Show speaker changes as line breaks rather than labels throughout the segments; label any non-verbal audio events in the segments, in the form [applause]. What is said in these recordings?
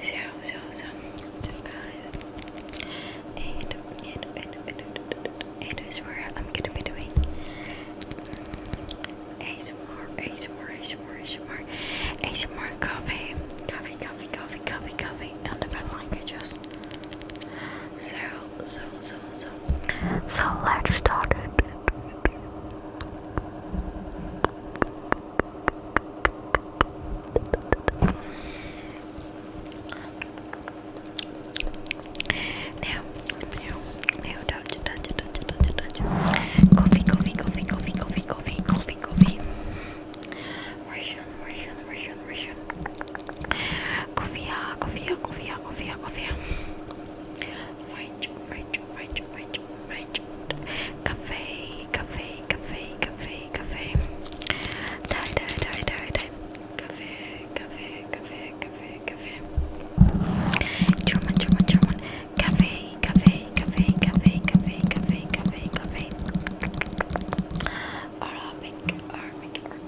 So, so, so, so, guys, it, it, it, it, it is where I'm gonna be doing ASMR, ASMR, ASMR, ASMR, ASMR coffee, coffee, coffee, coffee, coffee, coffee, and different languages. So, so, so, so. So let's start it. Now, now, now, touch, touch, touch, touch, touch. Coffee, coffee, coffee, coffee, coffee, coffee, coffee, coffee. Russian, Russian, Russian, Russian. Kofia, Kofia, Kofia, Kofia, Kofia. Right, right, right, right, right. Cafe, cafe, cafe, cafe, cafe. Die, die, die, die, die. Cafe, cafe, cafe, cafe, cafe. German, German, German. Cafe, cafe, cafe, cafe, cafe, cafe, cafe, cafe. Arabic, Arabic, Arabic.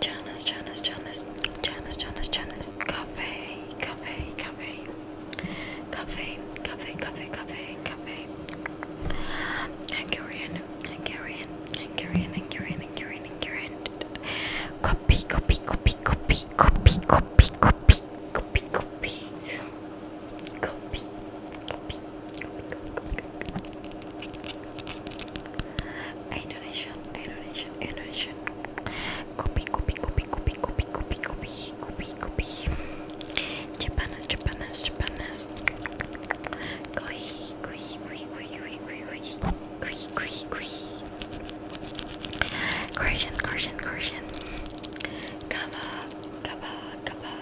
Janice, Janice, Janice, Janice, Janice, Janice, cafe, cafe, cafe, cafe, cafe, cafe, cafe, cafe. Hungarian, Hungarian, Hungarian, Hungarian, Hungarian, Hungarian. Copy, copy, copy, copy, copy, copy, copy, copy, copy, copy, copy, Indonesian, Indonesian, Indonesian. Copy, copy, copy, copy, copy, copy, copy, copy, copy. Japanese, Japanese, Japanese. Koi, koi, koi, koi, koi, koi, koi, koi, koi, koi. Korean, Korean, Korean. Kaba, kaba, kaba,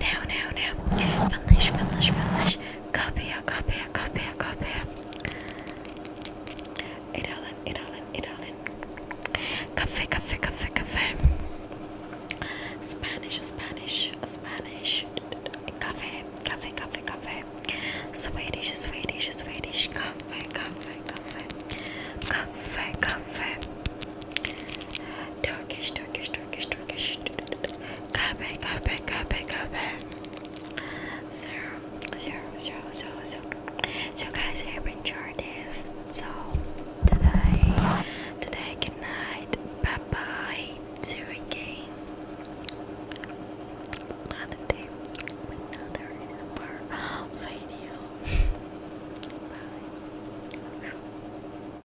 Now, now, now. Finish, finish, finish. Kapıya, kapıya, kapıya, kapıya. İt alın, it alın, it alın. Kafe, kafe, kafe, kafe. Spanish, Spanish, Spanish. Kafe, kafe, kafe, kafe. Swedish, Swedish, Swedish. Kafe, kafe, kafe. Kafe, kafe. Turkish, Turkish, Turkish, Turkish. Turkish. Kahve, kahve, kahve, kahve. Zero, zero, zero, zero, zero. So guys, I've been Jardis. So today, today, good night. Bye bye. See you again. Another day, another video. [laughs] bye.